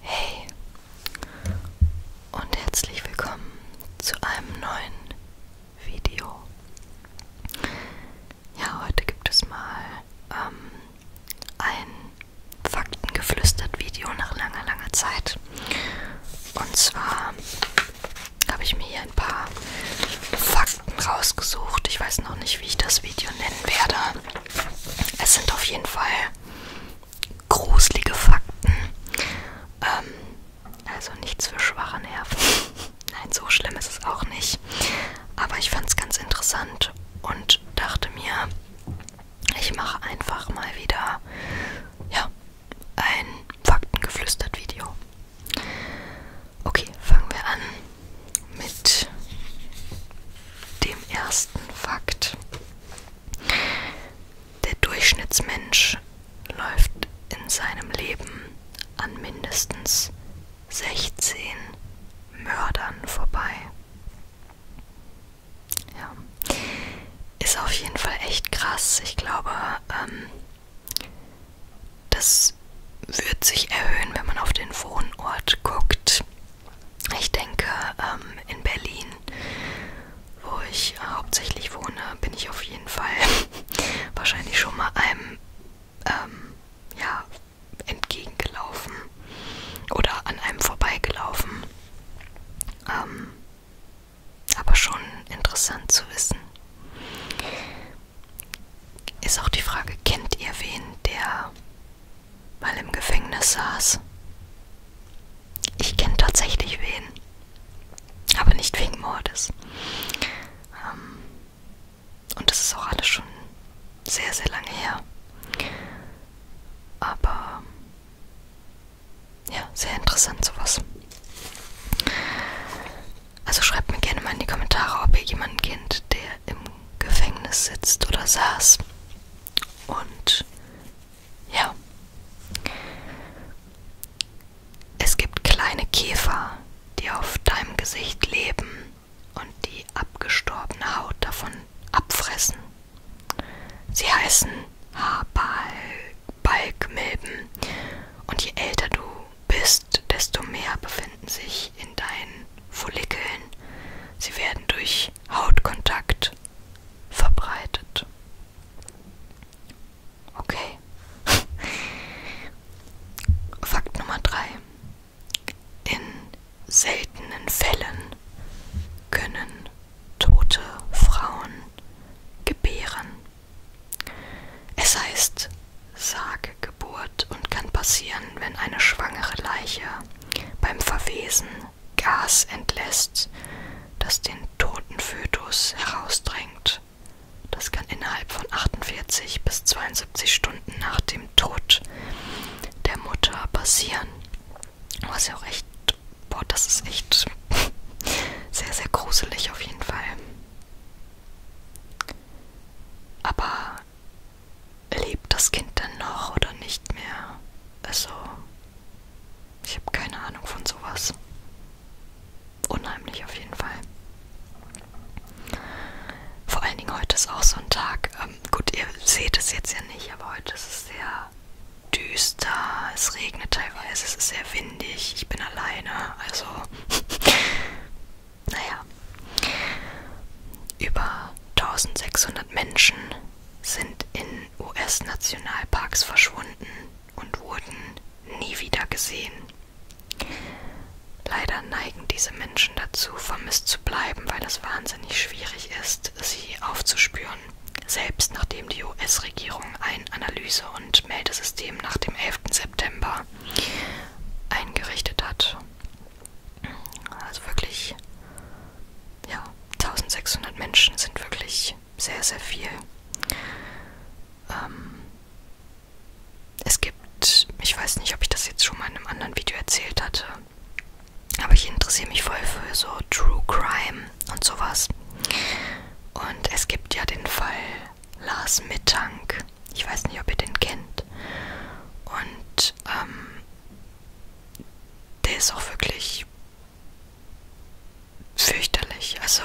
Hey und herzlich willkommen zu einem neuen Video. Ja, heute gibt es mal ähm, ein Faktengeflüstert Video nach langer, langer Zeit. Und zwar habe ich mir hier ein paar Fakten rausgesucht. Ich weiß noch nicht, wie ich das Video nennen werde es sind auf jeden Fall gruselige Fakten. Ähm, also nichts für schwache Nerven. Nein, so schlimm ist es auch nicht. Aber ich fand es ganz interessant und dachte mir, ich mache einfach mal wieder ja, ein Faktengeflüstert-Video. Okay, fangen wir an mit dem ersten Fakt. Der Durchschnittsmensch läuft in seinem Leben an mindestens 16 Mördern vorbei. Ja. Ist auf jeden Fall echt krass. Ich glaube, ähm, das wird sich erhöhen, wenn man auf den Wohnort guckt. Ich denke, ähm, in Berlin, wo ich äh, hauptsächlich wohne, bin ich auf jeden Fall wahrscheinlich schon mal einem ähm, ja, entgegengelaufen oder an einem vorbeigelaufen. Ähm, aber schon interessant zu wissen. Ist auch die Frage, kennt ihr wen, der mal im Gefängnis saß. Ich kenne tatsächlich wen, aber nicht wegen Mordes. Ähm, und das ist auch alles schon sehr, sehr lange her. Aber ja, sehr interessant sowas. Also schreibt mir gerne mal in die Kommentare, ob ihr jemanden kennt, der im Gefängnis sitzt oder saß. Und ja, es gibt kleine Käfer, die auf deinem Gesicht leben und die abgestorbene Haut davon abfressen. Sie heißen Haarbalgmilben und je älter du bist, desto mehr befinden sich sich in deinen Follikeln. Sie werden durch Hautkontakt verbreitet. Okay. Fakt Nummer 3. In seltenen Fällen können tote Frauen gebären. Es heißt Sagegeburt und kann passieren, wenn eine schwangere Leiche beim Verwesen Gas entlässt, das den toten Fötus herausdrängt. Das kann innerhalb von 48 bis 72 Stunden nach dem Tod der Mutter passieren. Was ja auch echt, boah, das ist echt sehr, sehr gruselig auf jeden Fall. Aber lebt das Kind dann noch oder nicht mehr? Also, ich habe keine Ahnung von sowas. Unheimlich auf jeden Fall. Vor allen Dingen heute ist auch so ein Tag. Ähm, gut, ihr seht es jetzt ja nicht, aber heute ist es sehr düster. Es regnet teilweise, es ist sehr windig. Ich bin alleine, also naja, über 1600 Menschen sind in US-Nationalparks verschwunden und wurden nie wieder gesehen. Leider neigen diese Menschen dazu, vermisst zu bleiben, weil es wahnsinnig schwierig ist, sie aufzuspüren. Selbst nachdem die US-Regierung ein Analyse- und Meldesystem nach dem 11. September eingerichtet hat. Also wirklich, ja, 1600 Menschen sind wirklich sehr, sehr viel. Ähm, es gibt, ich weiß nicht, ob ich das jetzt schon mal in einem anderen Video erzählt hatte, aber ich interessiere mich voll für so True Crime und sowas. Und es gibt ja den Fall Lars Mittank. Ich weiß nicht, ob ihr den kennt. Und ähm, der ist auch wirklich fürchterlich. Also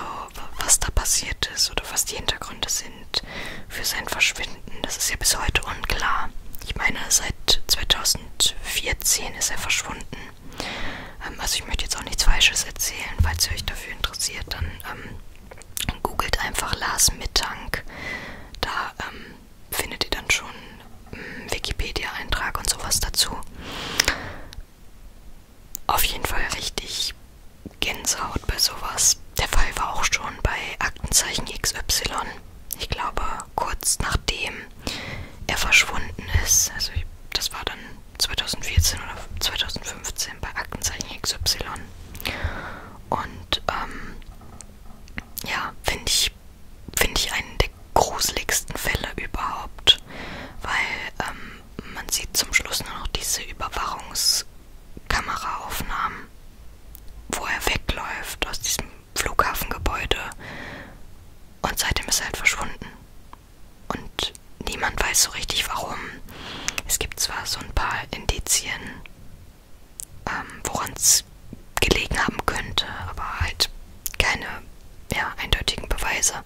was da passiert ist oder was die Hintergründe sind für sein Verschwinden, das ist ja bis heute unklar. Ich meine, seit 2014 ist er verschwunden. Ähm, also ich möchte jetzt auch nichts Falsches erzählen, falls ihr euch dafür interessiert, dann ähm, googelt einfach Lars Mittank. Da ähm, findet ihr dann schon hm, Wikipedia-Eintrag und sowas dazu. Auf jeden Fall richtig Gänsehaut bei sowas. Der Fall war auch schon bei Aktenzeichen XY. Ich glaube, kurz nachdem er verschwunden ist, also das war dann 2014 oder 2015 bei Aktenzeichen XY. Und ähm, ja, finde ich, find ich einen der gruseligsten Fälle überhaupt, weil ähm, man sieht zum Schluss nur noch diese Überwachungskameraaufnahmen, wo er wegläuft aus diesem Flughafengebäude und seitdem ist er halt verschwunden. Und niemand weiß so richtig warum. Es gibt zwar so ein paar Indizien, ähm, woran es gelegen haben könnte, aber halt keine ja, eindeutigen Beweise.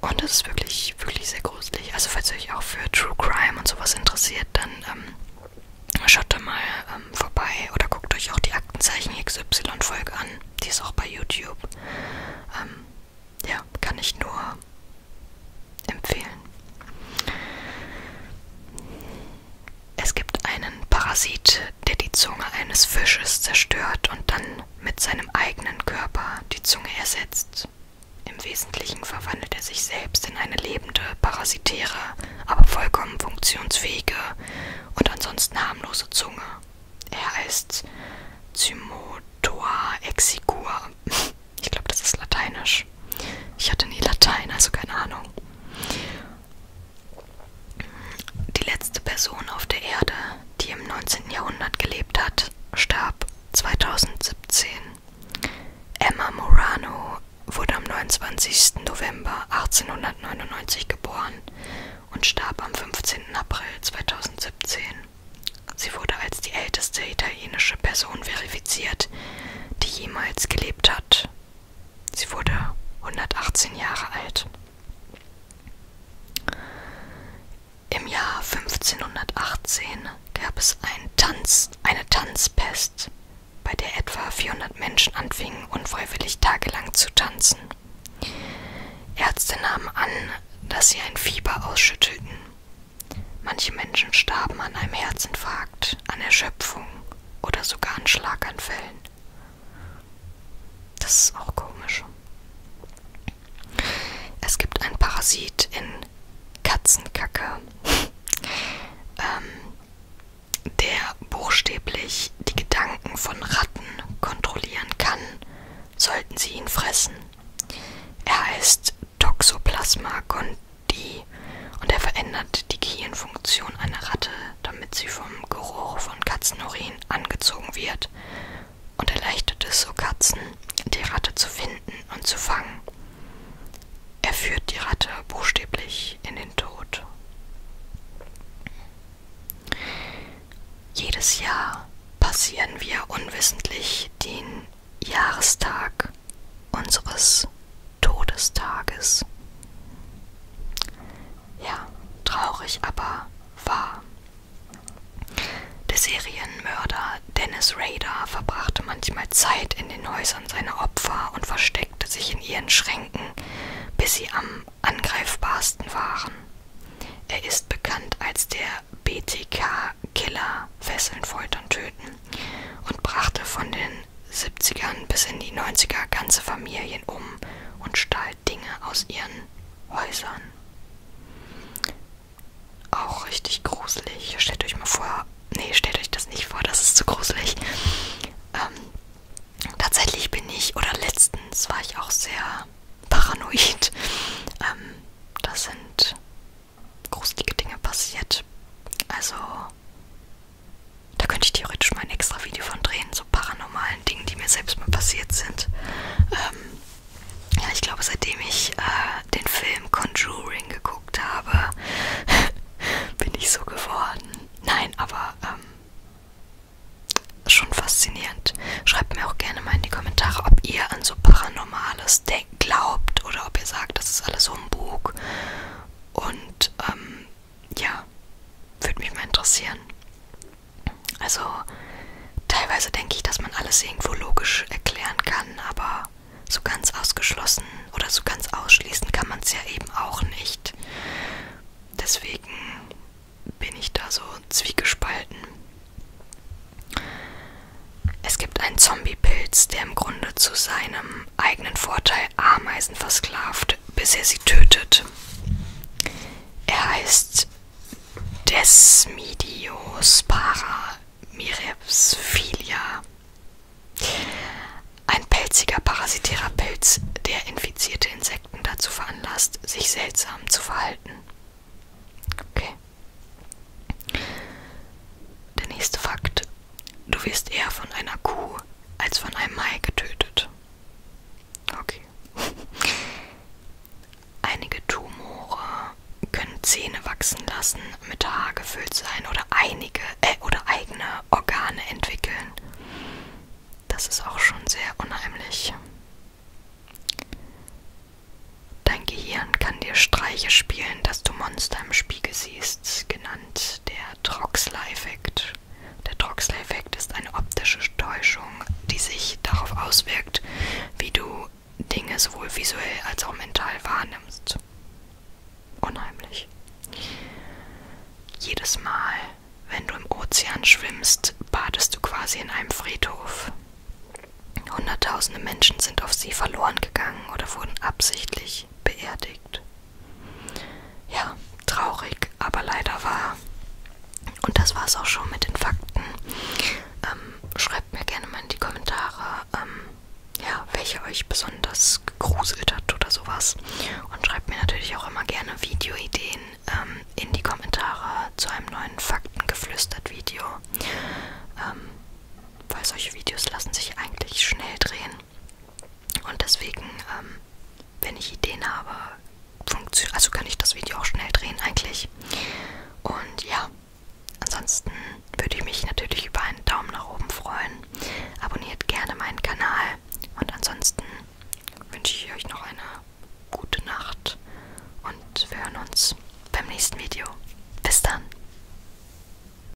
Und das ist wirklich, wirklich sehr gruselig. Also falls ihr euch auch für True Crime und sowas interessiert, dann ähm, schaut da mal ähm, vorbei oder guckt euch auch die Aktenzeichen XY-Folge an. Die ist auch bei YouTube. Ähm, ja, kann ich nur empfehlen. Es gibt einen Parasit, der die Zunge eines Fisches zerstört und dann mit seinem eigenen Körper die Zunge ersetzt. Im Wesentlichen verwandelt er sich selbst in eine lebende, parasitäre, aber vollkommen funktionsfähige und ansonsten harmlose Zunge. Er heißt Zymotoa exigua. Ich glaube, das ist lateinisch. Ich hatte nie Latein, also keine Ahnung. Die letzte Person auf der Erde, die im 19. Jahrhundert gelebt hat, starb 2017. Emma Morano wurde am 29. November 1899 geboren und starb am 15. April 2017. Sie wurde als die älteste italienische Person verifiziert, die jemals gelebt gealtert. Sie wurde 118 Jahre alt. Im Jahr 1518 gab es einen Tanz, eine Tanzpest, bei der etwa 400 Menschen anfingen, unfreiwillig tagelang zu tanzen. Ärzte nahmen an, dass sie ein Fieber ausschüttelten. Manche Menschen starben an einem Herzinfarkt Herzinfarkt, an Erschöpfung oder sogar an Schlaganfällen. Das ist auch komisch. Es gibt einen Parasit in Katzenkacke, ähm, der buchstäblich die Gedanken von Ratten kontrollieren kann, sollten sie ihn fressen. Er heißt Toxoplasma gondii und er verändert die Gehirnfunktion einer Ratte, damit sie vom Geruch von Katzenurin angezogen wird und erleichtert es so Katzen, die Ratte zu finden und zu fangen. Er führt die Ratte buchstäblich in den Tod. Jedes Jahr passieren wir unwissentlich den Jahrestag unseres Todestages. Ja, traurig, aber wahr. Der Serienmörder Dennis Rader verbrachte manchmal Zeit in den Häusern seiner Opfer und versteckte sich in ihren Schränken, bis sie am angreifbarsten waren. Er ist bekannt als der BTK-Killer Fesseln, Foltern, Töten und brachte von den 70ern bis in die 90er ganze Familien um und stahl Dinge aus ihren Häusern. Auch richtig gruselig. Stellt euch mal vor, nee, stellt euch das nicht vor, das ist zu gruselig. Ähm, tatsächlich bin ich, oder letztens war ich auch sehr paranoid. Ähm, das sind gruselige Dinge passiert. Also, da könnte ich theoretisch mal ein extra Video von drehen, so paranormalen Dingen, die mir selbst mal passiert sind. Ähm, ja, ich glaube, seitdem ich äh, den Film Conjuring geguckt habe, bin ich so geworden. Nein, aber ähm, schon faszinierend. Schreibt mir auch gerne mal in die Kommentare, ob ihr an so Paranormales glaubt oder ob ihr sagt, das ist alles Humbug und ähm, ja, würde mich mal interessieren. Also teilweise denke ich, dass man alles irgendwo logisch erklären kann, aber so ganz ausgeschlossen oder so ganz ausschließen kann man es ja eben auch nicht. Deswegen bin ich da so zwiegespalten. Es gibt einen Zombie-Pilz, der im Grunde zu seinem zum eigenen Vorteil Ameisen versklavt, bis er sie tötet. Er heißt Desmidiospara mirepsfilia. Ein pelziger parasitärer Pilz, der infizierte Insekten dazu veranlasst, sich seltsam zu verhalten. Okay. Der nächste Fakt. Du wirst eher von einer Kuh als von einem Mai getötet. Okay. Einige Tumore können Zähne wachsen lassen, mit Haar gefüllt sein oder einige äh, oder eigene Organe entwickeln. Das ist auch schon sehr unheimlich. Dein Gehirn kann dir Streiche spielen, dass du Monster im Spiegel siehst. Genau genannt der Troxler-Effekt. Der Troxler-Effekt ist eine optische Täuschung, die sich darauf auswirkt, wie du Dinge sowohl visuell als auch mental wahrnimmst. Unheimlich. Jedes Mal, wenn du im Ozean schwimmst, badest du quasi in einem Friedhof. Hunderttausende Menschen sind auf sie verloren gegangen oder wurden absichtlich beerdigt. Ja, traurig, aber leider wahr. Und das war es auch schon mit den Fakten. Ähm, schreibt mir gerne mal in die Kommentare, ähm, ja, welche euch besonders gegruselt hat oder sowas. Und schreibt mir natürlich auch immer gerne Videoideen ähm, in die Kommentare zu einem neuen Faktengeflüstert-Video. Ähm, weil solche Videos lassen sich eigentlich schnell drehen. Und deswegen, ähm, wenn ich Ideen habe, also kann ich das Video auch schnell drehen eigentlich. Und ja, ansonsten würde ich mich natürlich über einen Daumen nach oben freuen. Abonniert gerne meinen Kanal. Und ansonsten wünsche ich euch noch eine gute Nacht. Und wir hören uns beim nächsten Video. Bis dann.